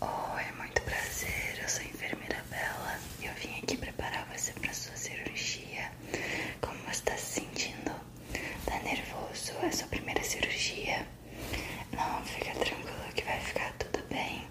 Oi, oh, é muito prazer. Eu sou a enfermeira Bela e eu vim aqui preparar você para sua cirurgia. Como você está se sentindo? Tá nervoso? É sua primeira cirurgia? Não, fica tranquilo que vai ficar tudo bem.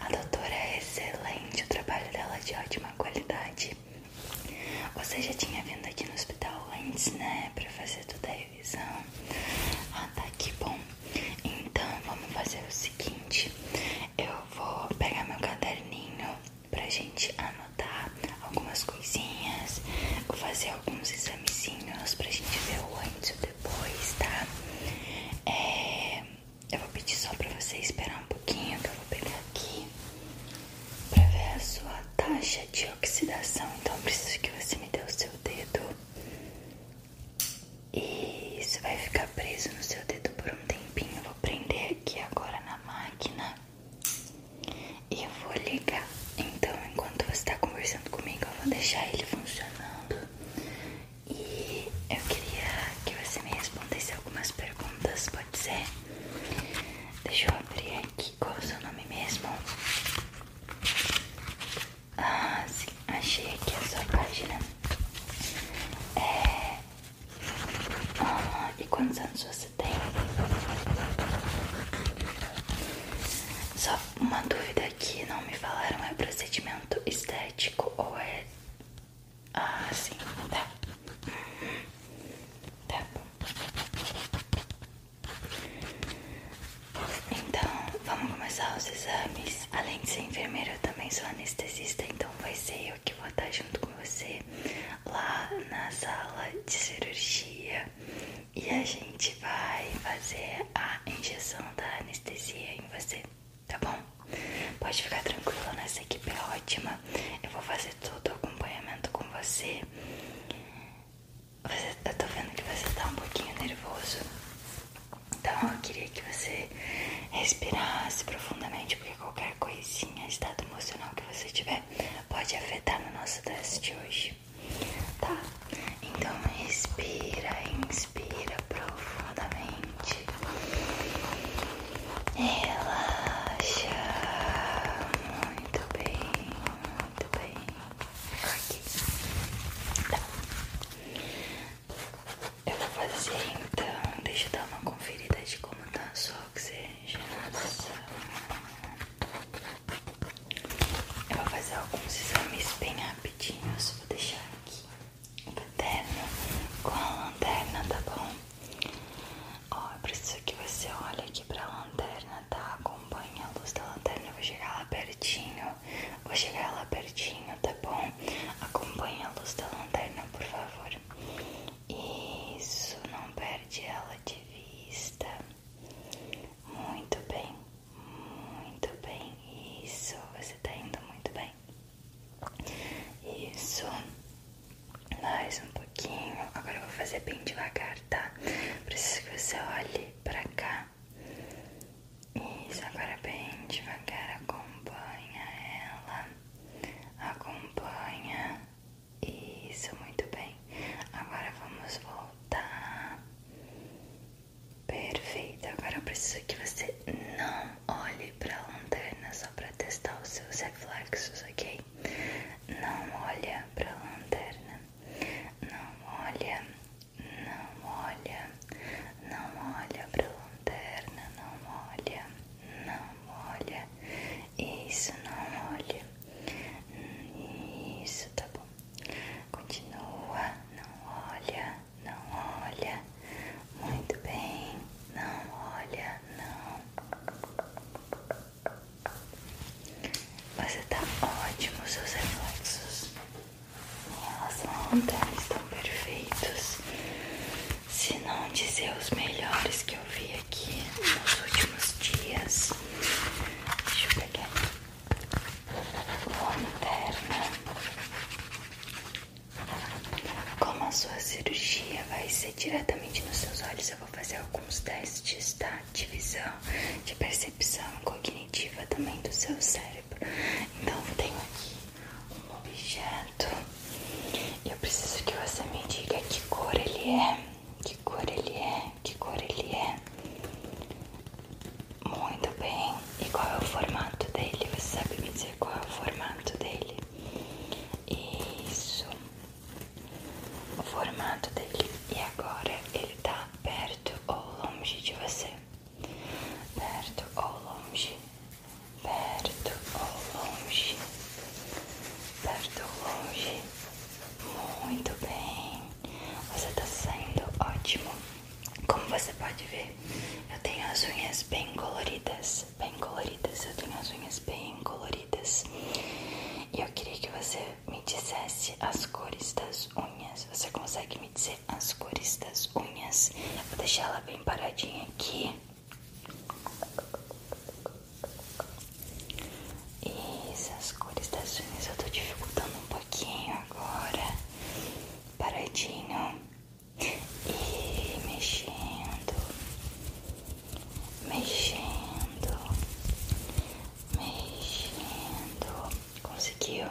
A doutora é excelente, o trabalho dela é de ótima qualidade. Você já tinha vindo aqui no hospital antes, né? Pra fazer ah, tá que bom. Então vamos fazer o seguinte: eu vou pegar meu caderninho pra gente anotar algumas coisinhas, vou fazer alguns examezinhos pra gente ver o antes e o depois, tá? É, eu vou pedir só pra você esperar um pouquinho que eu vou pegar aqui pra ver a sua taxa de oxidação. Então preciso que você me dê o seu dedo e isso vai ficar preso no seu dedo por um tempinho. Eu vou prender aqui agora na máquina e eu vou ligar. Então, enquanto você está conversando comigo, eu vou deixar ele funcionando. E eu queria que você me respondesse algumas perguntas, pode ser? Deixa eu abrir aqui. Qual é o seu nome mesmo? Ah, sim, achei aqui a sua página. É. Ah, e quantos anos você tem? Só uma dúvida aqui, não me falaram é procedimento estético ou é. Ah, sim, tá. Tá bom. Então, vamos começar os exames. Além de ser enfermeira, eu também sou anestesista, então vai ser eu que vou estar junto com você lá na sala de cirurgia. E a gente vai fazer a injeção da anestesia em você, tá bom? Pode ficar tranquila, nossa equipe é ótima. Eu vou fazer todo o acompanhamento com você. Você, eu tô vendo que você tá um pouquinho nervoso. Então eu queria que você respirasse profundamente, porque qualquer coisinha, estado emocional que você tiver, pode afetar no nosso teste de hoje. Tá? Então respira, inspira profundamente. Relaxa. Muito bem. Muito bem. Tá. Eu vou fazer então. Deixa eu dar uma conferida de como tá a sua oxigenação. Eu vou fazer alguns exames bem rapidinhos. Vou deixar aqui o caderno com a lanterna, tá bom? Ó, eu preciso que você olhe aqui pra lanterna, tá? Acompanha a luz da lanterna, eu vou chegar lá pertinho. Vou chegar lá pertinho, tá bom? Acompanha a luz da lanterna, por favor. Isso, não perde ela de vista. Muito bem, muito bem. Isso, você tá indo muito bem. Isso, mais um pouquinho. Agora eu vou fazer bem devagar, tá? Preciso que você olhe pra cá. Isso, agora bem devagar. Acompanha ela. Acompanha. Isso, muito bem. Agora vamos voltar. Perfeito. Agora eu preciso que você não olhe pra lanterna só pra testar os seus reflexos, ok? Não olha para a lanterna. Não olha, não olha, não olha para a lanterna. Não olha, não olha. Isso, não olha. Isso, tá bom. Continua, não olha, não olha. Muito bem, não olha, não você tá ótimo, seus reflexos em relação estão perfeitos. Se não dizer os melhores que eu vi aqui nos últimos dias. Deixa eu pegar lanterna. Como a sua cirurgia vai ser diretamente nos seus olhos. Eu vou fazer alguns testes, tá? De visão, de percepção cognitiva também do seu cérebro. Então, eu tenho aqui um objeto. E eu preciso que você me diga que cor ele é. Que cor ele é. Que cor ele é. Muito bem. E qual é o formato dele? Você sabe me dizer qual é o formato dele? Isso. O formato dele. E agora ele tá perto ou longe de você? Perto ou longe? Perto ou longe? Perto ou longe? Muito bem. Você tá saindo ótimo. Como você pode ver, eu tenho as unhas bem coloridas bem coloridas, eu tenho as unhas bem coloridas e eu queria que você me dissesse as cores das unhas. Você consegue me dizer as cores das unhas? vou deixar ela bem paradinha aqui. Isso, as cores das unhas eu tô dificultando um pouquinho agora. Paradinho e mexendo, mexendo, mexendo. Conseguiu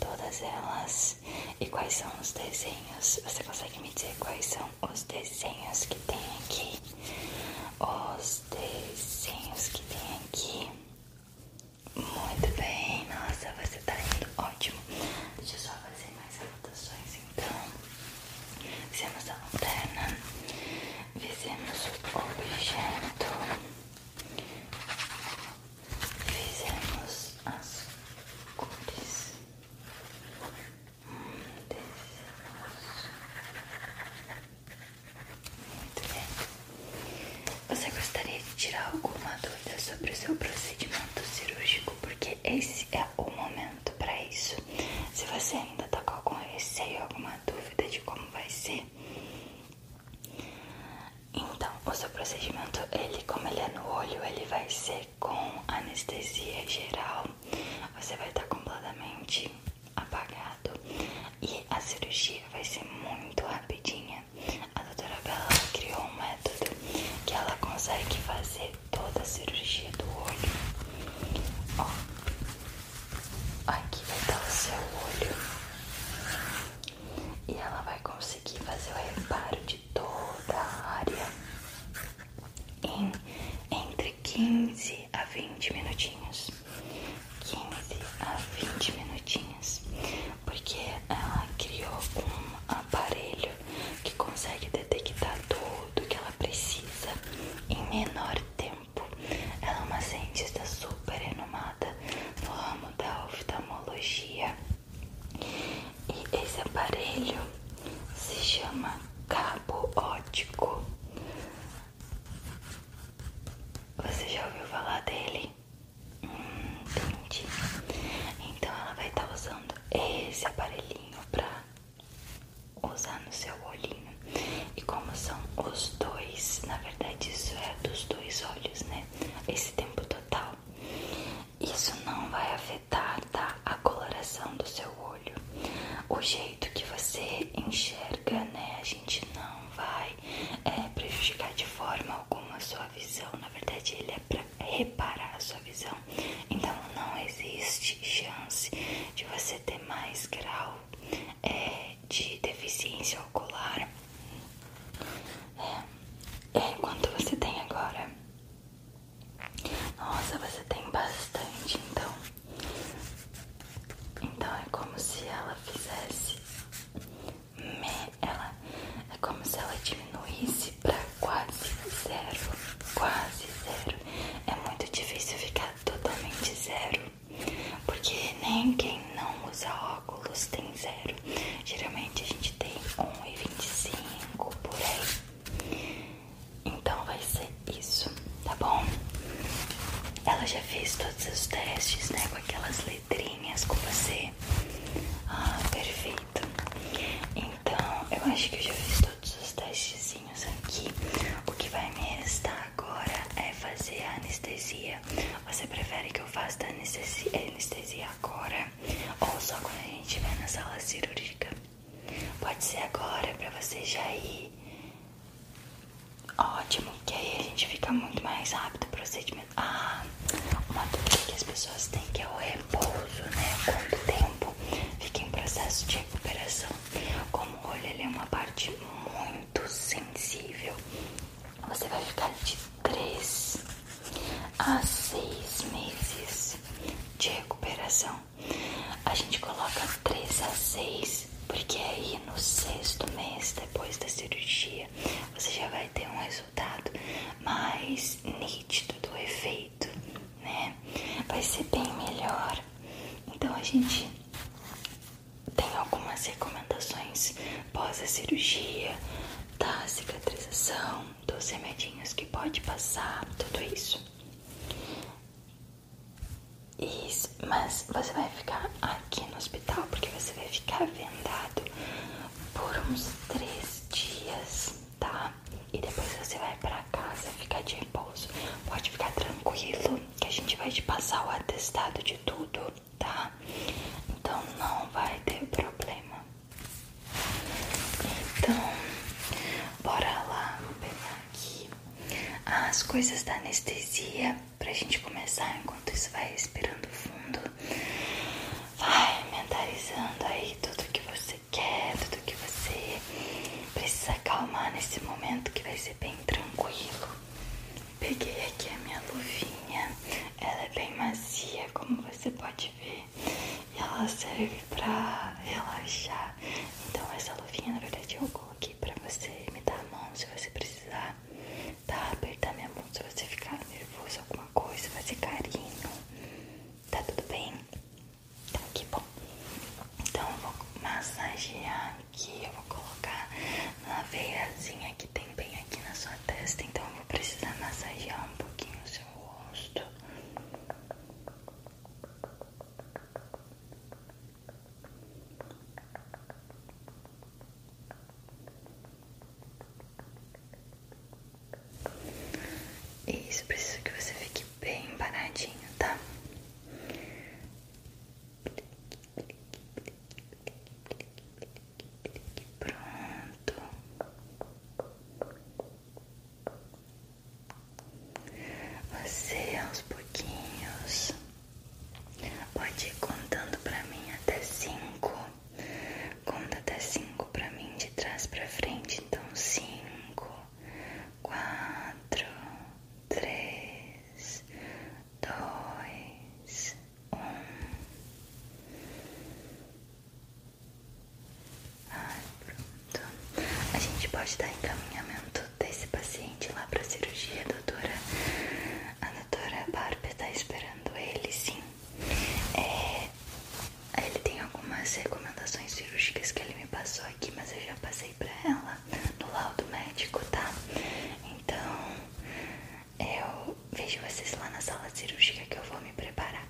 todas elas? E quais são os desenhos? Você consegue me dizer quais são os desenhos que tem aqui? Os desenhos que tem aqui. Muito bem, nossa, você tá indo ótimo. Deixa eu só fazer mais rotações então fizemos a lanterna fizemos o objeto fizemos as cores muito bem você gostaria de tirar alguma dúvida sobre o seu procedimento cirúrgico porque esse é o momento para isso. Se você ainda está com algum receio, alguma dúvida de como vai ser, então o seu procedimento, ele como ele é no olho, ele vai ser com anestesia geral. Você vai estar tá completamente apagado e a cirurgia vai ser muito rapidinha. A doutora Bela criou um método que ela consegue fazer toda a cirurgia do olho. Ó, aqui vai estar o seu olho e ela vai conseguir fazer o reparo de toda a área em entre 15 a 20 minutinhos. 15 a 20 minutinhos porque ela criou um aparelho que consegue detectar tudo que ela precisa em menor tempo. Ela é uma cientista super renomada no ramo da oftalmologia. E esse aparelho se chama cabo ótico. Você já ouviu falar dele? Entendi. Então ela vai estar tá usando esse aparelhinho pra usar no seu olhinho. E como são os dois, na verdade isso é dos dois olhos, né? Esse tempo total. Isso não vai afetar tá? a coloração do seu olho. O jeito que você enxerga, né? A gente não vai é, prejudicar de forma alguma a sua visão. Na verdade, ele é para reparar a sua visão. Então, não existe chance de você ter mais grau é, de deficiência ocular é, é, quanto você tem agora. Nossa, você tem bastante, então. Então é como se ela fizesse ela é como se ela diminuísse pra quase zero, quase zero. É muito difícil ficar totalmente zero, porque nem quem não usa óculos tem zero. Geralmente a gente tem 1,25 por aí. Então vai ser isso, tá bom? Ela já fez todos os testes, né, com aquelas letrinhas linhas com você. Ah, perfeito. Então, eu acho que eu já fiz todos os testezinhos aqui. O que vai me restar agora é fazer a anestesia. Você prefere que eu faça a anestesia, anestesia agora ou só quando a gente vai na sala cirúrgica? Pode ser agora para você já ir Ótimo, que aí a gente fica muito mais rápido o procedimento. Ah, uma dúvida que as pessoas têm que é o repouso, né? Quanto tempo fica em processo de recuperação? Como o olho é uma parte muito sensível, você vai ficar de 3 a 6 meses de recuperação. A gente coloca 3 a 6 porque aí no sexto mês depois da cirurgia você já vai ter um resultado mais nítido do efeito, né? Vai ser bem melhor. Então a gente tem algumas recomendações pós a cirurgia, da cicatrização, dos remedinhos que pode passar, tudo isso. Isso, mas você vai ficar aqui no hospital porque você vai ficar vendado por uns três dias, tá? E depois você vai pra casa ficar de repouso. Pode ficar tranquilo que a gente vai te passar o atestado de tudo, tá? Então não vai ter problema. Então, bora lá, vou pegar aqui as coisas da anestesia pra gente começar. Enquanto isso, vai respirando fundo, vai mentalizando aí tudo que você quer, tudo que você precisa acalmar nesse momento que vai ser bem tranquilo. Peguei aqui a minha luvinha, ela é bem macia, como você pode ver, e ela serve pra relaxar. Então, essa luvinha, na verdade, eu gosto aqui pra você me dar a mão se você precisar, tá? Apertar minha mão se você ficar nervoso, alguma coisa, fazer carinho. Tá tudo bem? então tá que bom. Então eu vou massagear aqui, eu vou colocar na veiazinha que tem bem aqui na sua testa, então eu vou precisar massagear um pouquinho o seu rosto. Isso, preciso que você fique bem paradinho, tá? Pronto. Você aos pouquinhos pode ir contando pra mim até cinco. Conta até cinco pra mim de trás pra frente. Então, cinco, quatro, três, dois, um. A gente pode dar encaminhamento desse paciente lá pra cirurgia, doutora. A doutora Bárbara está esperando ele, sim. É, ele tem algumas recomendações cirúrgicas que ele me passou aqui, mas eu já passei pra ela no laudo médico, tá? Então, eu vejo vocês lá na sala cirúrgica que eu vou me preparar.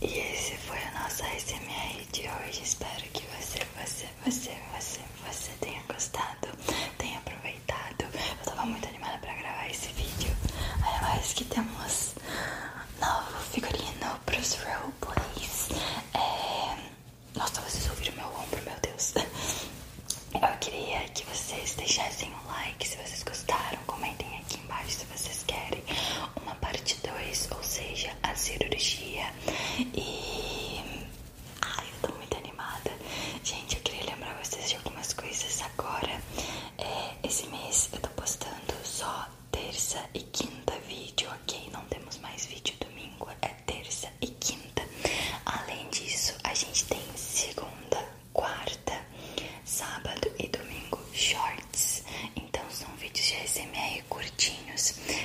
E esse foi o nosso SMR de hoje. Espero que você, você, você, você, tenha gostado, tenha aproveitado. Eu tava muito animada pra gravar esse vídeo. Ainda mais que temos novo figurino pros roleplays. É... Nossa, vocês ouviram meu ombro, meu Deus. Eu queria que vocês deixassem um like se vocês gostaram, comentem aqui embaixo se vocês querem uma parte 2, ou seja, a cirurgia. E. Ai, eu tô muito animada. Gente, eu queria lembrar vocês de algumas coisas agora. É, esse mês eu tô postando só terça e quinta vídeo, ok? Não temos mais vídeo domingo, é terça e quinta. Além disso, a gente tem segunda quarta, sábado e domingo shorts. Então são vídeos de SMR curtinhos.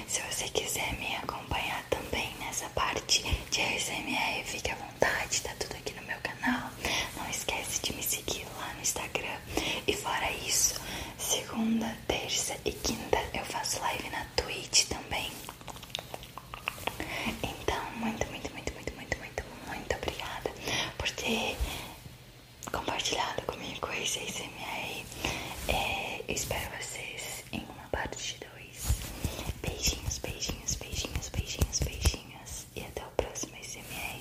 Se você quiser me acompanhar também nessa parte de SMR, fique à vontade, tá tudo aqui no meu canal. Não esquece de me seguir lá no Instagram. E fora isso, segunda, terça e quinta eu faço live na Twitch também. Então, muito, muito, muito, muito, muito, muito, muito obrigada por ter compartilhado comigo esse ASMR. É, eu espero vocês em uma parte dois Beijinhos, beijinhos, beijinhos, beijinhos, beijinhos. E até o próximo ASMR.